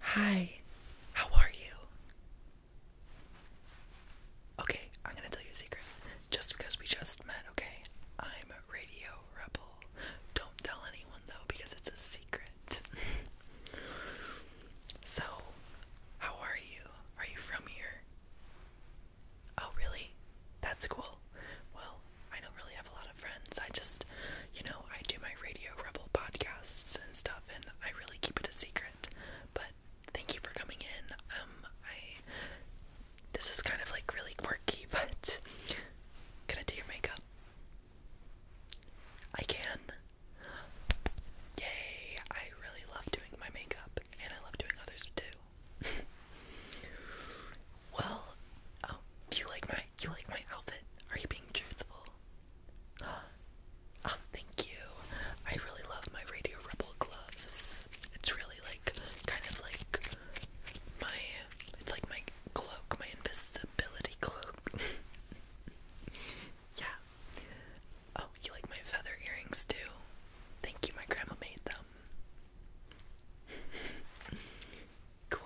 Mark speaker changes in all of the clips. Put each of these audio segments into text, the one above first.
Speaker 1: Hi, how are you? Okay, I'm gonna tell you a secret. Just because we just met, okay? I'm a radio rebel. Don't tell anyone though, because it's a secret. so, how are you? Are you from here? Oh, really? That's cool. Well, I don't really have a lot of friends. I just, you know, I do my Radio Rebel podcasts and stuff, and I really keep it a secret. But thank you for coming in. Um, I this is kind of like really quirky, but can I do your makeup? I can. Yay! I really love doing my makeup, and I love doing others too. well, oh, do you like my you like my outfit? Are you being truthful? Oh, thank you. I really love my Radio Rebel gloves. It's really like kind of like my it's like my cloak, my invisibility cloak. yeah. Oh, you like my feather earrings too? Thank you, my grandma made them. Cool.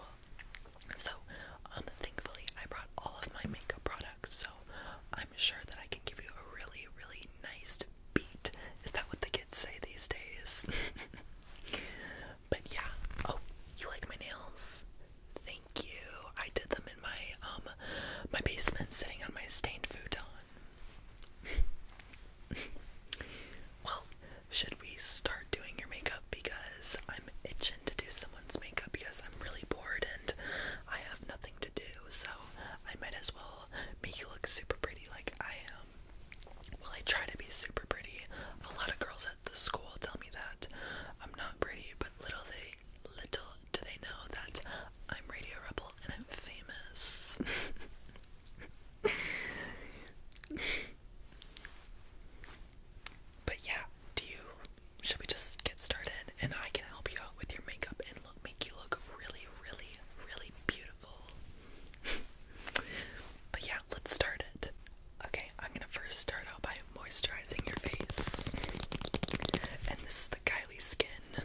Speaker 1: So, um, thankfully, I brought all of my makeup products, so I'm sure that I can give you a really, really nice beat. Is that what the kids say these days? but yeah. Oh, you like my nails? Thank you. I did them in my um my basement, sitting on my stained futon. Well, should we start doing your makeup? Because I'm itching to do someone's makeup because I'm really bored and I have nothing to do, so I might as well make you look super pretty like I am. Well, I try to be super pretty. A lot of girls at the school tell me that I'm not pretty, but little they little do they know that I'm Radio Rebel and I'm famous. But yeah, do you should we just get started and I can help you out with your makeup and look make you look really, really, really beautiful. but yeah, let's start it. Okay, I'm gonna first start out by moisturizing your face. And this is the Kylie skin.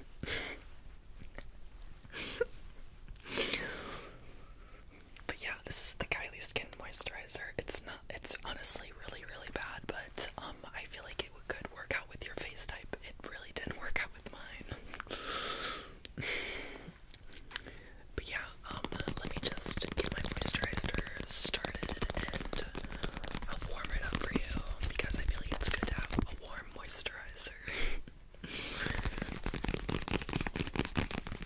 Speaker 1: But yeah, this is the Kylie Skin Moisturizer. It's not, it's honestly really, really bad, but um, I feel like it could work out with your face type. It really didn't work out with mine. but yeah, um, let me just get my moisturizer started and i warm it up for you because I feel like it's good to have a warm moisturizer.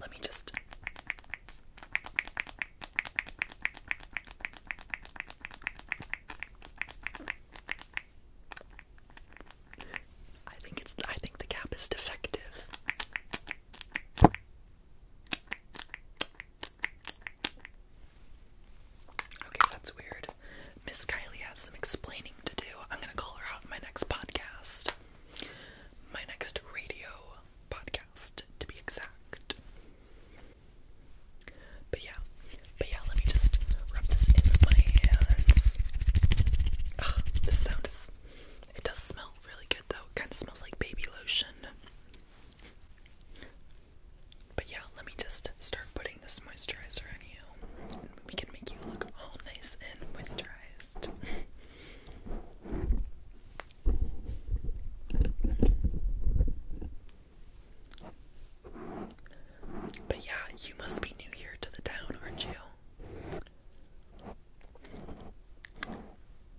Speaker 1: Let me just I think it's I think the cap is defective. Okay, that's weird. Miss Kylie has some explaining to do. I'm gonna call her out in my next podcast. My next radio podcast, to be exact. But yeah, but yeah, let me just rub this in my hands. this sound is. It does smell really good though. It kind of smells like baby lotion. But yeah, let me just start putting this moisturizer on you. we can make you look all nice and moisturized. But yeah, you must be new here to the town, aren't you?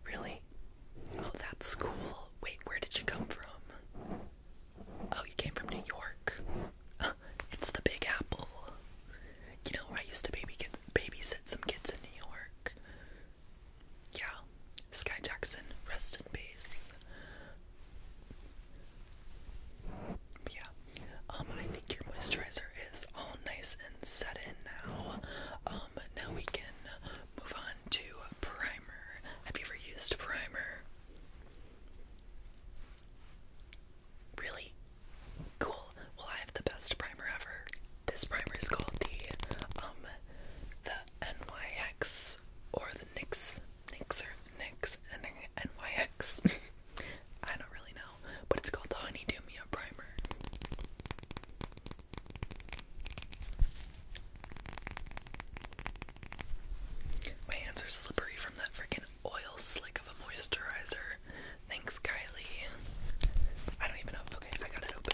Speaker 1: Really? Oh, that's cool. Wait, where did you come from? Oh, you came from New York. it's the Big Apple. You know, I used to baby get, babysit some kids in New York. Yeah, Sky Jackson, rest in peace. Yeah, um, I think your moisturizer hair is all nice and set in now. Um, now we can move on to primer. Have you ever used primer? Really? Cool. Well, I have the best primer ever. This primer is called the um the NYX or the NYX NYX or NYX NYX. I don't really know but it's called the Honeydew Mia Primer. My hands are slippery from that freaking oil slick of a moisturizer. Thanks, Kylie. I don't even know. Okay, I got it open.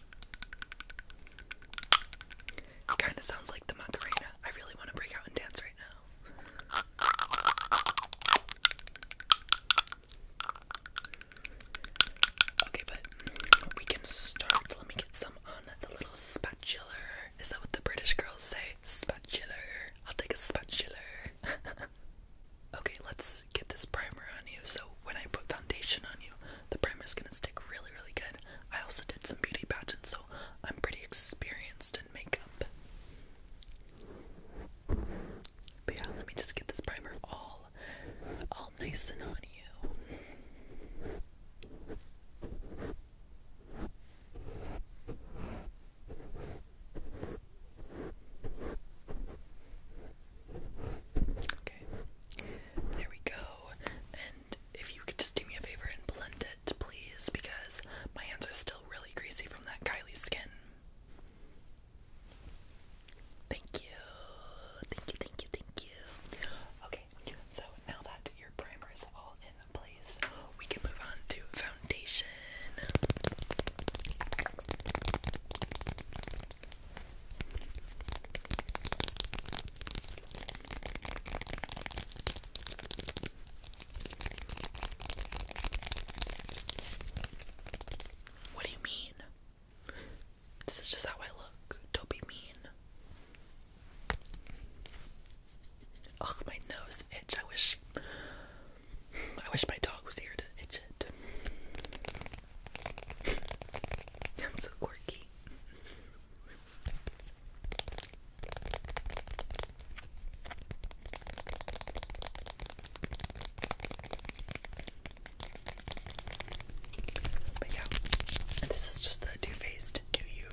Speaker 1: It kind of sounds like the Macarena. I really want to break out and dance right now. Okay, but we can start. Let me get some on the little spatula. Is that what the British girls say? Spatula. I'll take a spatula. okay, let's get this primer on you so when I put foundation on you, the primer is gonna stick really, really good. I also did some beauty pageants, so I'm pretty experienced in makeup. But yeah, let me just get this primer all, all nice and on you. Okay. There we go. And if you could just do me a favor and blend it, please, because my hands are still really greasy from that Kylie skin. Thank you. Thank you, thank you, thank you. Okay, so now that your primer is all in place, we can move on to foundation. What do you mean? This is just how I look. Don't be mean. Ugh, my nose itch. I wish I wish my dog was here to itch it. I'm so quirky. But yeah, this is just the Too Faced Do You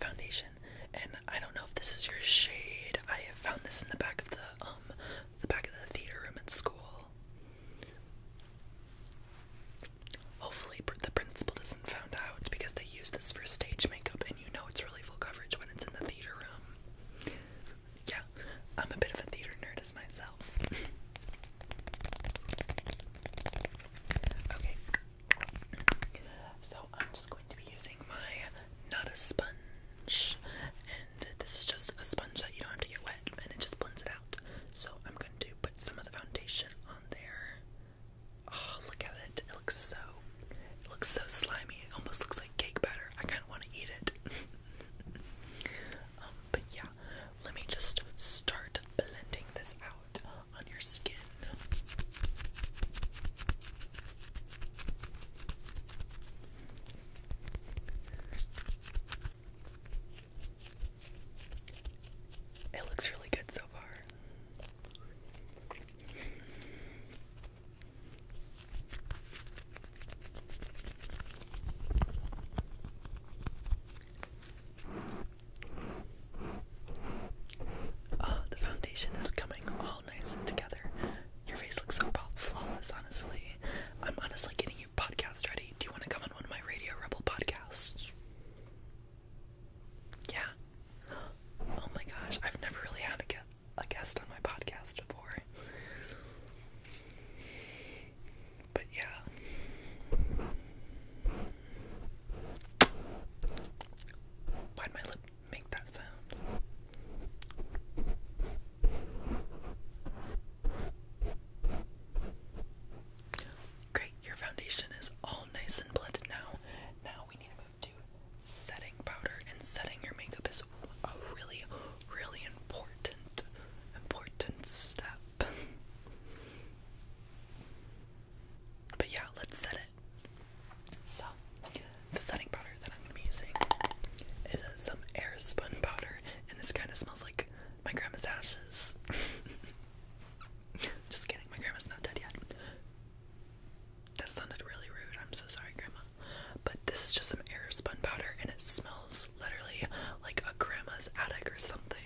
Speaker 1: foundation, and I don't know if this is your shade. I have found this in the back of the um, the back of the theater room at school. Hopefully, the principal doesn't found out because they use this for stage makeup, and you know it's really full coverage when it's in the theater room. Yeah, I'm a bit of a theater nerd as myself. okay, so I'm just going to be using my not a sponge, and this is just a sponge that you don't have to get wet, and it just blends it so I'm going to put some of the foundation on there. Oh, look at it. It looks so looks so slimy. It almost looks like cake batter. I kind of want to eat it. Um, but yeah, let me just start blending this out on your skin. It looks really good so far. Oh, the foundation is coming all nice together. Your face looks so flawless, honestly. I'm honestly getting podcast ready. Do you want to come on one of my Radio Rebel podcasts? Yeah. Oh my gosh, I've never really had a, gu a guest on my podcast before. But yeah. why my lip make that sound? Great, your foundation is all nice and blended now. Now we need to move to setting powder, and setting your makeup is a really, really important, important step. but yeah, let's set it. So, the setting powder that I'm using is some air spun powder, and this kind of smells like my grandma's ashes. Just kidding, my grandma's not dead yet. That sounded really rude. I'm so sorry, Grandma. But this is just some air powder and it smells literally like a grandma's attic or something.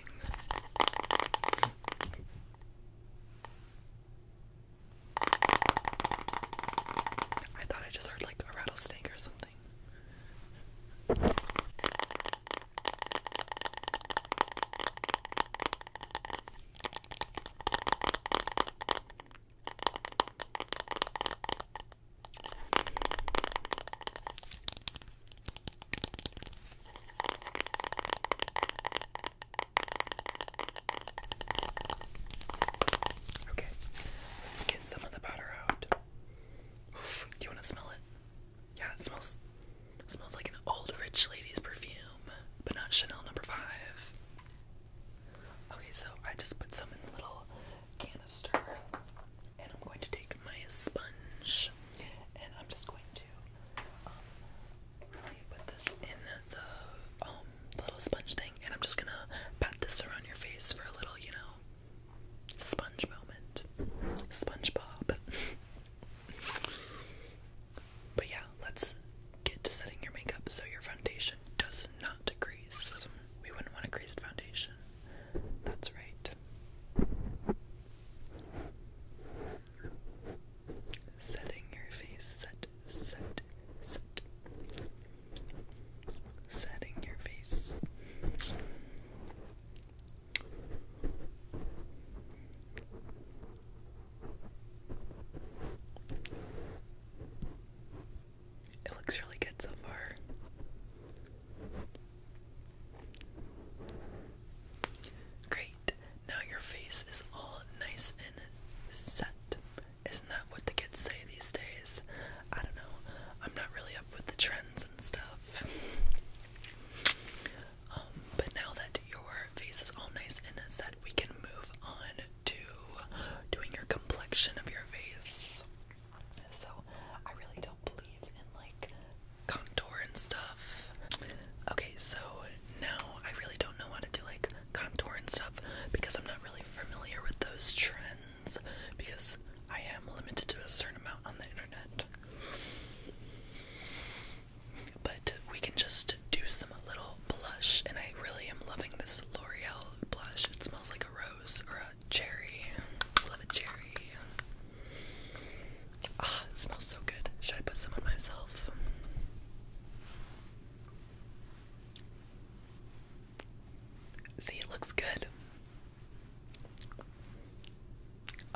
Speaker 1: I thought I just heard like a rattlesnake or something. Okay, let's get some of the powder out. Do you want to smell it? Yeah, it smells it smells like an old rich lady's perfume, but not Chanel number five. Okay, so I just put some in the little canister and I'm going to take my sponge and I'm just going to um, put this in the um, little sponge thing and I'm just gonna pat this around your face for a little, you know, Sponge moment. SpongeBob. but yeah, let's get to setting your makeup so your foundation does not crease. We wouldn't want a creased foundation. That's right. Setting your face, set, set, set. Setting your face. It looks really good so far. Great. Now your face is all nice and set. Isn't that what the kids say these days? I don't know. I'm not really up with the trends and stuff. Um, but now that your face is all nice and set, we can move on to doing your complexion of your face. So I really don't believe in like contour and stuff. Okay, so now I really don't know how to do like contour and stuff because I'm not really familiar with those trends because I am limited to a certain amount on the internet. But we can just do some little blush, and I really am loving this L'Oreal blush. It smells like a rose or a cherry. I love a cherry. Ah, it smells so good. Should I put some on myself? See, it looks good.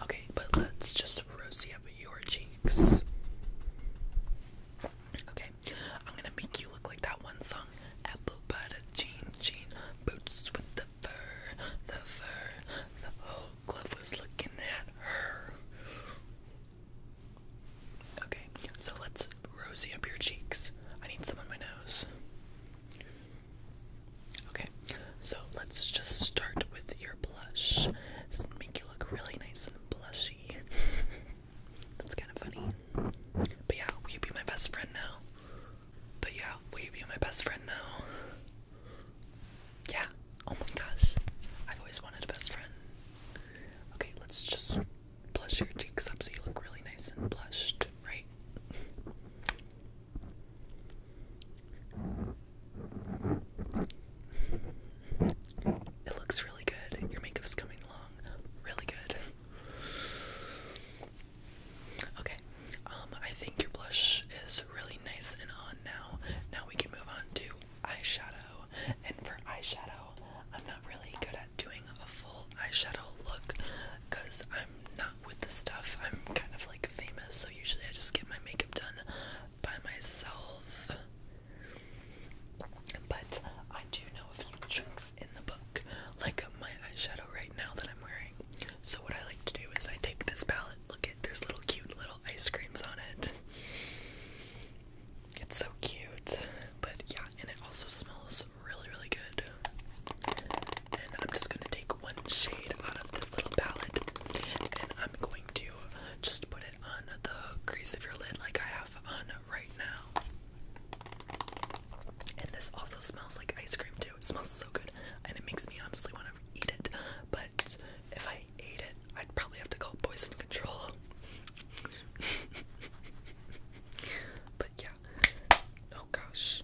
Speaker 1: Okay, but let's just rosy up your cheeks. Okay, I'm gonna make you look like that one song Apple Butter Jean Jean Boots with the fur, the fur, the whole club was looking at her. Okay, so let's rosy up your cheeks. I need some on my nose. Okay, so let's just start with your blush. make you look really nice and blushy. That's kind of funny. But yeah, will you be my best friend now? But yeah, will you be my best friend now? Yeah. Oh my gosh. I've always wanted a best friend. Okay, let's just blush your cheeks up so you look really nice and blushed, right? It looks really good. Your makeup's coming along really good. Okay, um, I think your blush is really nice and on now. Now we can move on to eyeshadow. And for eyeshadow, I'm not really good at doing a full eyeshadow look, because I'm not with the stuff. I'm kind of like famous, so usually I just get my makeup done by myself. But I do know a few tricks in the book, like my eyeshadow right now that I'm wearing. So, what I like to do is I take this palette, look at there's little cute little ice creams on it. It's so cute, but yeah, and it also smells really, really good. And I'm just gonna take one shade out of this little palette and I'm going to just put it on the crease of your lid like I have on right now. And this also smells like ice cream too. It smells so good and it makes me honestly want to eat it. But if I ate it, I'd probably have to call poison control. but yeah. Oh gosh.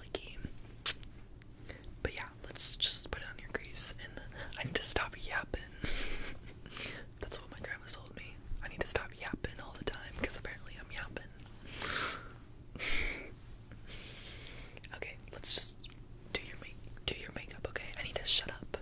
Speaker 1: But yeah, let's just put on your grease and I need to stop yapping. That's what my grandma told me. I need to stop yapping all the time because apparently I'm yapping. okay, let's do your make do your makeup, okay? I need to shut up.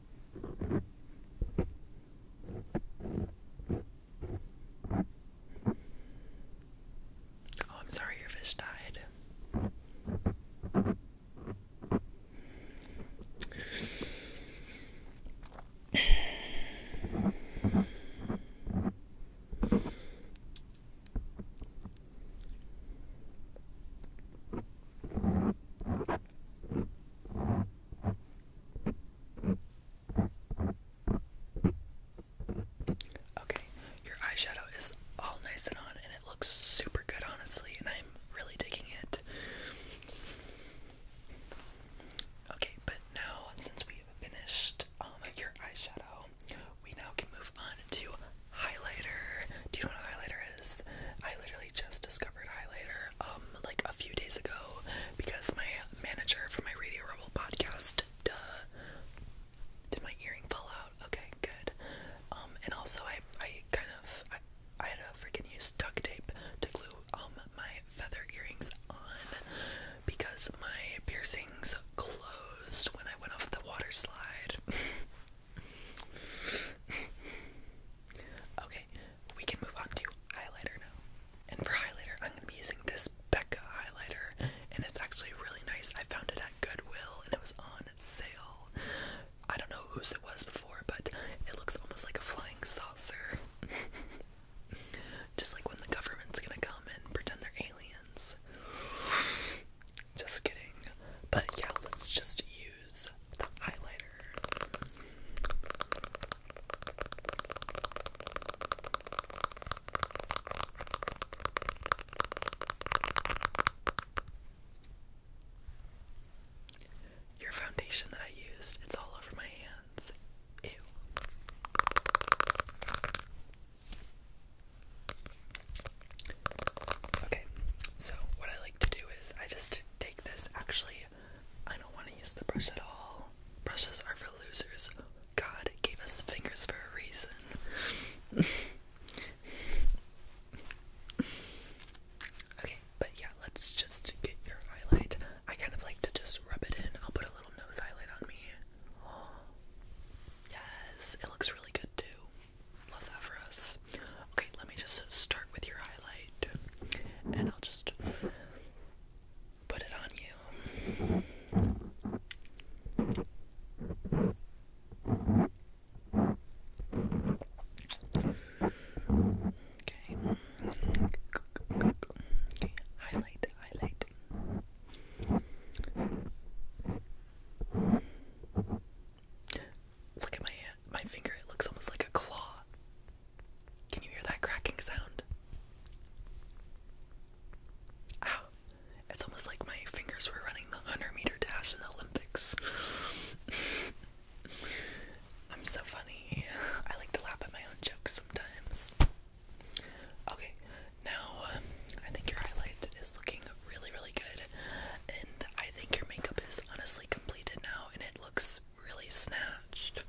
Speaker 1: Oh, I'm sorry your fish died. Okay, your eyeshadow is all nice and on, and it looks super good, honestly, and I'm really digging it. Okay, but now, since we've finished um, your eyeshadow, we now can move on to highlighter. Do you know what highlighter I literally just discovered highlighter um, like a few days ago because my manager from my Radio Rebel podcast duh did my earring fall out? Okay, good. Um, and also I I kind of I, had to freaking use duct tape to glue um my feather earrings on because my piercings closed when I went off the water slide. okay, we can move on to highlighter now. And for highlighter, I'm gonna be using this Becca highlighter, and it's actually really nice. I found it at Goodwill, and it was on sale. I don't know whose it was before, but it looks almost like a flying saucer. Just like when the government's gonna come and pretend they're aliens. Just kidding. But yeah, let's just use the highlighter. Your foundation that I used, it's all over my hands. Okay, so what I like like to do is I just take this. Actually, I don't want to use the brush at all. Brushes are for losers. God gave us fingers for a reason. okay, but yeah, let's just get your highlight. I kind of like to just rub it in. I'll put a little nose highlight on me. yes, it looks really good too. Love that for us. Okay, let me just start with your highlight and I'll just put it on you. Okay. highlight, highlight. Look at my hand, my finger. It looks almost like a claw. Can you hear that cracking sound? Ow. It's almost like my fingers were running the 100 meter dash in the Olympics. I'm so funny. I like to laugh at my own jokes sometimes. Okay, now um, I think your highlight is looking really, really good. And I think your makeup is honestly completed now and it looks really snatched.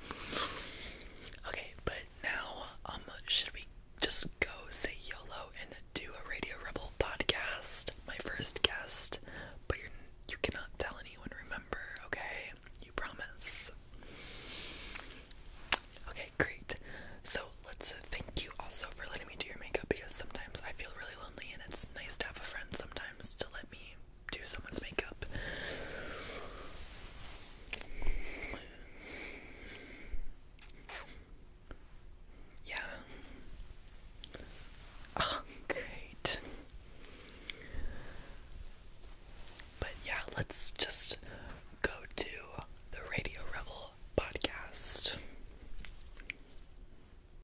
Speaker 1: Okay, but now um should we just go say YOLO and do a Radio Rebel podcast? My first guest, but you you cannot tell anyone remember, okay? You promise. Okay, great. So let's thank you also for letting me do your makeup because sometimes I feel really and it's nice to have a friend sometimes to let me do someone's makeup. Yeah. Oh, great. But yeah, let's just go to the Radio Rebel podcast.